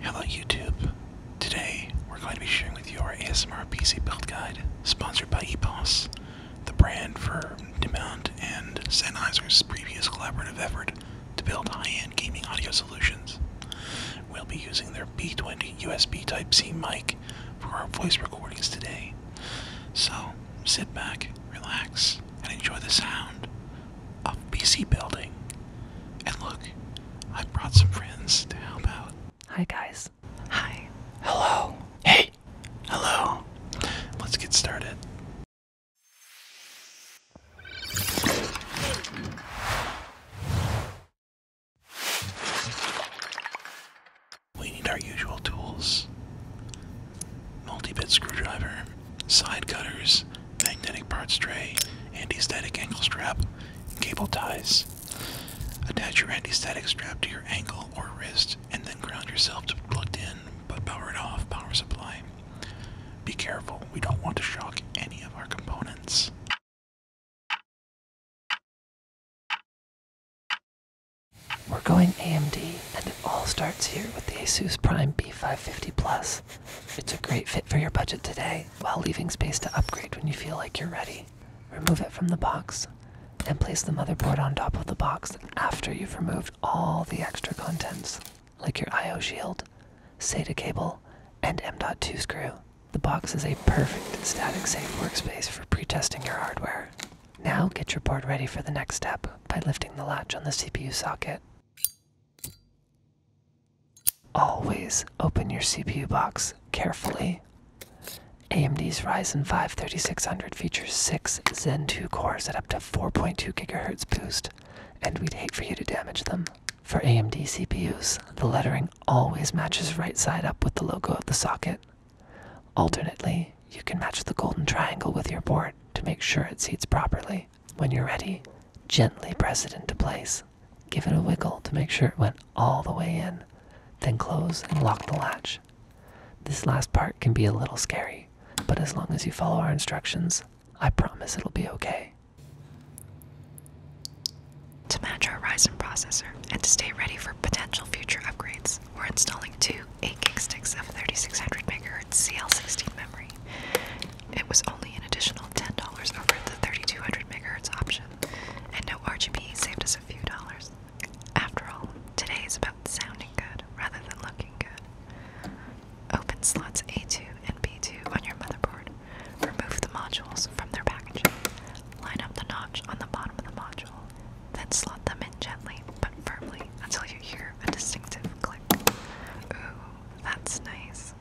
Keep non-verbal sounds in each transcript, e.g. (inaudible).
Hello YouTube. Today we're going to be sharing with you our ASMR PC build guide, sponsored by EPOS, the brand for demand and Sennheiser's previous collaborative effort to build high-end gaming audio solutions. We'll be using their B20 USB Type-C mic for our voice recordings today. So sit back, relax, and enjoy the sound of PC building. And look, I brought some friends to help out. Hi guys. Hi. Hello. Hey. Hello. Let's get started. We need our usual tools multi-bit screwdriver, side cutters, magnetic parts tray, anti-static ankle strap, cable ties. Attach your anti-static strap to your ankle or wrist and then ground yourself to plugged in but powered off power supply. Be careful, we don't want to shock any of our components. We're going AMD, and it all starts here with the Asus Prime B550 Plus. It's a great fit for your budget today, while leaving space to upgrade when you feel like you're ready. Remove it from the box, and place the motherboard on top of the box after you've removed all the extra contents like your IO shield, SATA cable, and M.2 screw. The box is a perfect static safe workspace for pre-testing your hardware. Now get your board ready for the next step by lifting the latch on the CPU socket. Always open your CPU box carefully. AMD's Ryzen 5 3600 features six Zen 2 cores at up to 4.2 gigahertz boost, and we'd hate for you to damage them. For AMD CPUs, the lettering always matches right side up with the logo of the socket. Alternately, you can match the golden triangle with your board to make sure it seats properly. When you're ready, gently press it into place. Give it a wiggle to make sure it went all the way in, then close and lock the latch. This last part can be a little scary but as long as you follow our instructions, I promise it'll be okay. To match our Ryzen processor and to stay ready for potential future upgrades, we're installing two 8 gig sticks of 3600 MHz CL16 memory. It was only an additional $10 over the 3200 MHz option, and no RGB saved us a few dollars. After all, today is about sounding good rather than looking good. Open slots A2 and B2 on your motherboard. Remove the modules from their packaging. Line up the notch on the bottom of the module. Then slot them in gently but firmly until you hear a distinctive click. Ooh, that's nice.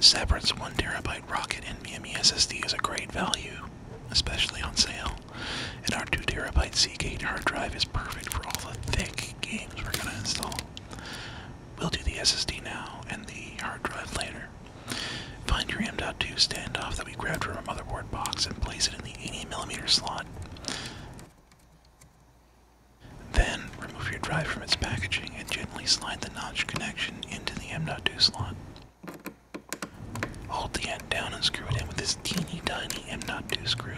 Sebra's 1TB rocket NVMe SSD is a great value, especially on sale. And our 2TB Seagate hard drive is perfect for all the thick games we're going to install. We'll do the SSD now and the hard drive later. Find your M.2 standoff that we grabbed from a motherboard box and place it in the 80mm slot. Then, remove your drive from its packaging and gently slide the notch connection into the M.2 slot. Hold the end down and screw it in with this teeny tiny M02 screw.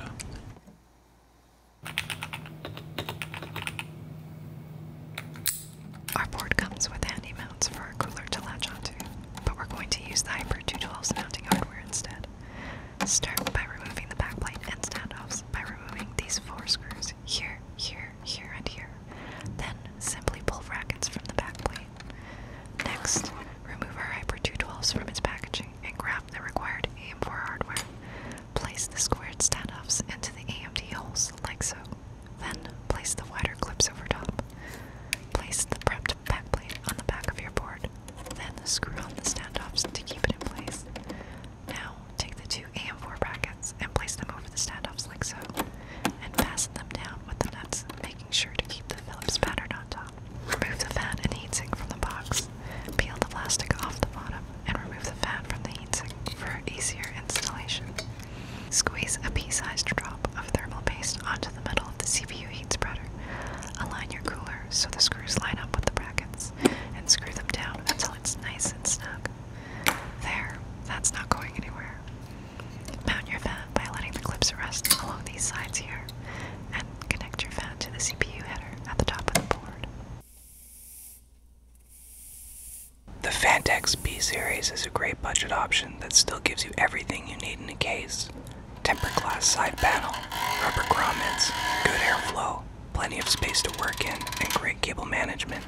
Our board comes with handy mounts for our cooler to latch onto, but we're going to use the Hyper 212's mounting hardware instead. Start by removing the backplate and standoffs by removing these four screws here, here, here, and here. Then simply pull brackets from the backplate. Next, remove our Hyper 212s from its packaging and grab the required AM4 hardware. Place the squared standoffs into the AMD holes like so. Then place the wider clips over top. Place the prepped backplate on the back of your board. Then screw on the standoffs to keep it in place. Now take the two AM4 brackets and place them over the standoffs like so, and fasten them down with the nuts, making sure to keep the Phillips pattern on top. Remove the fan and heatsink from the box. Peel the plastic off the bottom and remove the fan from the heatsink for easier installation. Squeeze a pea-sized drop of thermal paste onto the middle of the CPU heat spreader. Align your cooler so the screws line up with the brackets and screw them down until it's nice and snug. There, that's not going anywhere. Mount your fan by letting the clips rest along these sides here and Connect your fan to the CPU header at the top of the board. The Fantex B series is a great budget option that still gives you everything you need in a case. Tempered glass side panel, rubber grommets, good airflow, plenty of space to work in, and great cable management.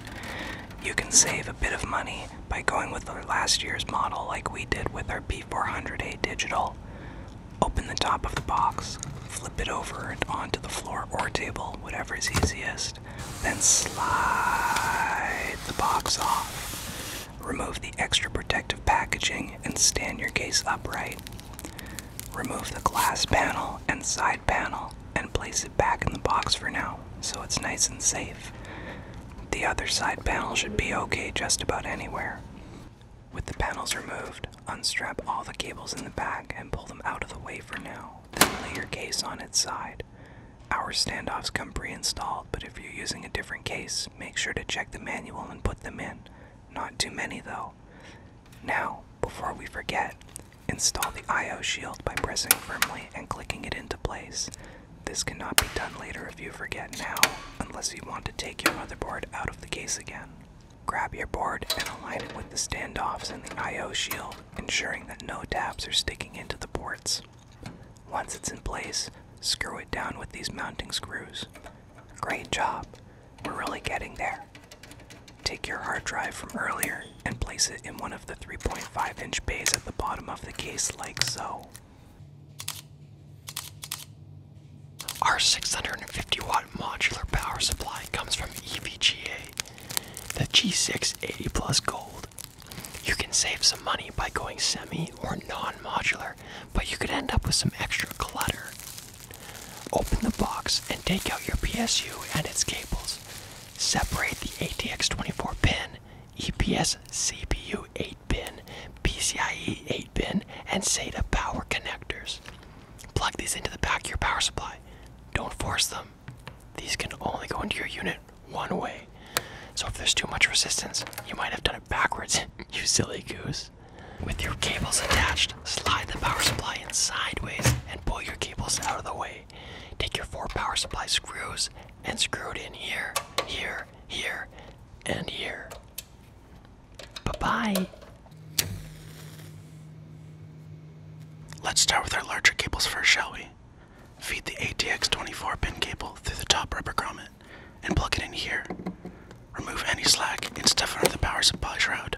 You can save a bit of money by going with our last year's model like we did with our P400A Digital. Open the top of the box, flip it over and onto the floor or table, whatever is easiest. Then slide the box off. Remove the extra protective packaging and stand your case upright. Remove the glass panel and side panel and place it back in the box for now so it's nice and safe. The other side panel should be okay just about anywhere. With the panels removed, unstrap all the cables in the back and pull them out of the way for now, then lay your case on its side. Our standoffs come pre-installed, but if you're using a different case, make sure to check the manual and put them in. Not too many though. Now, before we forget, install the IO shield by pressing firmly and clicking it into place. This cannot be done later if you forget now, unless you want to take your motherboard out of the case again. Grab your board and align it with the standoffs and the I.O. shield, ensuring that no tabs are sticking into the ports. Once it's in place, screw it down with these mounting screws. Great job! We're really getting there. Take your hard drive from earlier and place it in one of the 3.5 inch bays at the bottom of the case, like so. Our 650 watt modular power supply comes from EVGA, the G680 Plus Gold. You can save some money by going semi or non modular, but you could end up with some extra clutter. Open the box and take out your PSU and its cables. Separate the ATX24 pin, EPS CPU pin PCIe 8-pin, and SATA power connectors. Plug these into the back of your power supply. Don't force them. These can only go into your unit one way. So if there's too much resistance, you might have done it backwards, (laughs) you silly goose. With your cables attached, slide the power supply in sideways and pull your cables out of the way. Take your four power supply screws and screw it in here, here, here, and here. Bye-bye. Let's start with our larger cables first, shall we? Feed the ATX 24 pin cable through the top rubber grommet and plug it in here. Remove any slack and stuff under the power supply shroud.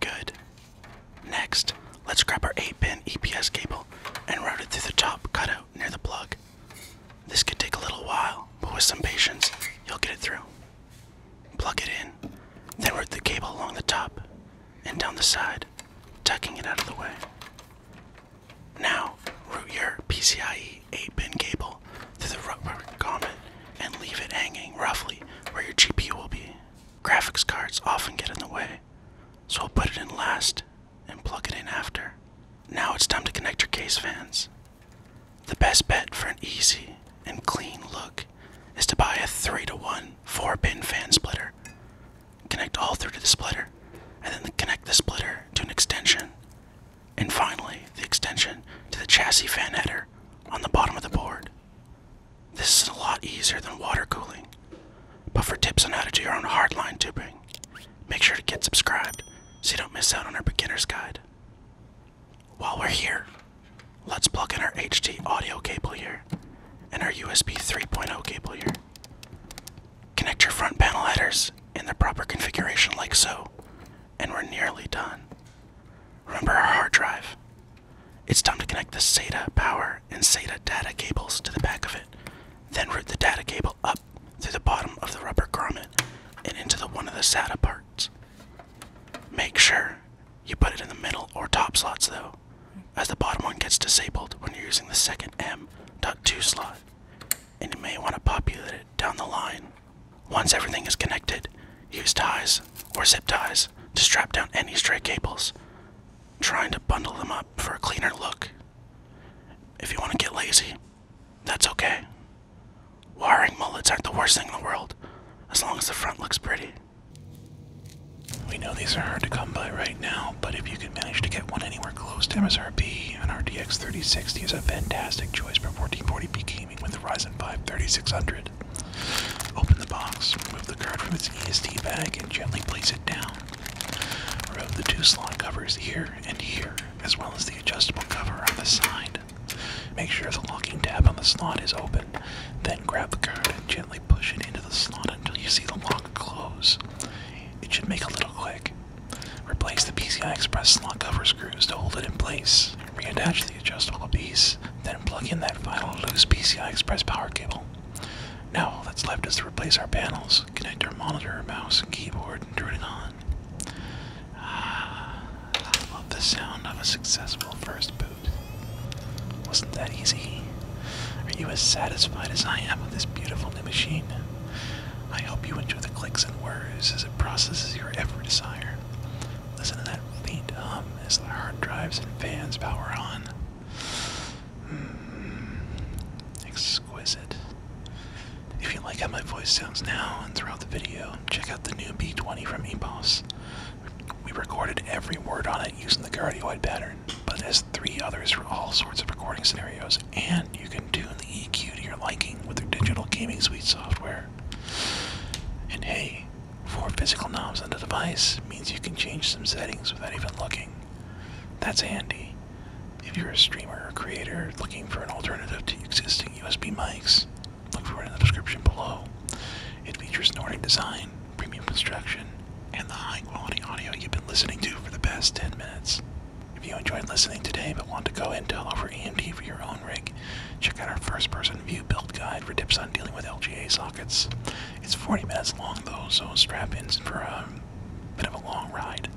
Good. Next, let's grab our 8 pin EPS cable and route it through the top cutout near the plug. This could take a little while, but with some patience, you'll get it through. Plug it in, then route the cable along the top and down the side, tucking it out of the way. Now, route your PCIe 8 pin cable through the rubber comet and leave it hanging roughly where your GPU will be. Graphics cards often get in the way, so I'll put it in last and plug it in after. Now it's time to connect your case fans. The best bet for an easy and clean look is to buy a 3 to 1 4 pin fan splitter. Connect all through to the splitter, and then connect the splitter to an extension, and finally the extension to the chassis fan header on the bottom of the board. This is a lot easier than water cooling, but for tips on how to do your own hardline tubing, Make sure to get subscribed so you don't miss out on our beginner's guide. While we're here, let's plug in our HD audio cable here and our USB 3.0 cable here. Connect your front panel headers in the proper configuration like so, and we're nearly done. Remember our hard drive. It's time to connect the SATA power and SATA data cables to the back of it, then route the data cable up through the bottom of the rubber garment and into the one of the SATA parts. Make sure you put it in the middle or top slots though, as the bottom one gets disabled when you're using the second M.2 slot, and you may want to populate it down the line. Once everything is connected, use ties or zip ties to strap down any stray cables, trying to bundle them up for a cleaner look. If you want to get lazy, that's okay. Wiring mullets aren't the worst thing in the world, as long as the front looks pretty. We know these are hard to come by right now, but if you can manage to get one anywhere close to MSRP, an RTX 3060 is a fantastic choice for 1440p gaming with the Ryzen 5 3600. Open the box, remove the card from its EST bag, and gently place it down. Remove the two slot covers here and here, as well as the adjustable cover on the side. Make sure the locking tab on the slot is open, then grab the card and gently push it into the slot until you see the lock close. It should make a little click. Replace the PCI Express slot cover screws to hold it in place. Reattach the adjustable piece, then plug in that final loose PCI Express power cable. Now all that's left is to replace our panels, connect our monitor, mouse, and keyboard, and turn it on fun. I love the sound of a successful first boot. Wasn't that easy? Are you as satisfied as I am with this beautiful new machine? I hope you enjoy the clicks and whirs as it processes your every desire. Listen to that faint hum as the hard drives and fans power on. Mm. If you like how my voice sounds now and throughout the video, check out the new B20 from EPOS. We recorded every word on it using the cardioid pattern, but it has three others for all sorts of recording scenarios, and you can tune the EQ to your liking with the digital gaming suite software. And hey, four physical knobs on the device means you can change some settings without even looking. That's handy. If you're a streamer or creator looking for an alternative to existing USB mics, look for it in the description below. It features an design, premium construction, and the high quality audio you've been listening to for the past 10 minutes. If you enjoyed listening today but want to go Intel over EMD for your own rig, check out our first person view build guide for tips on dealing with LGA sockets. It's 40 minutes long though, so strap in for um, a bit of a long ride.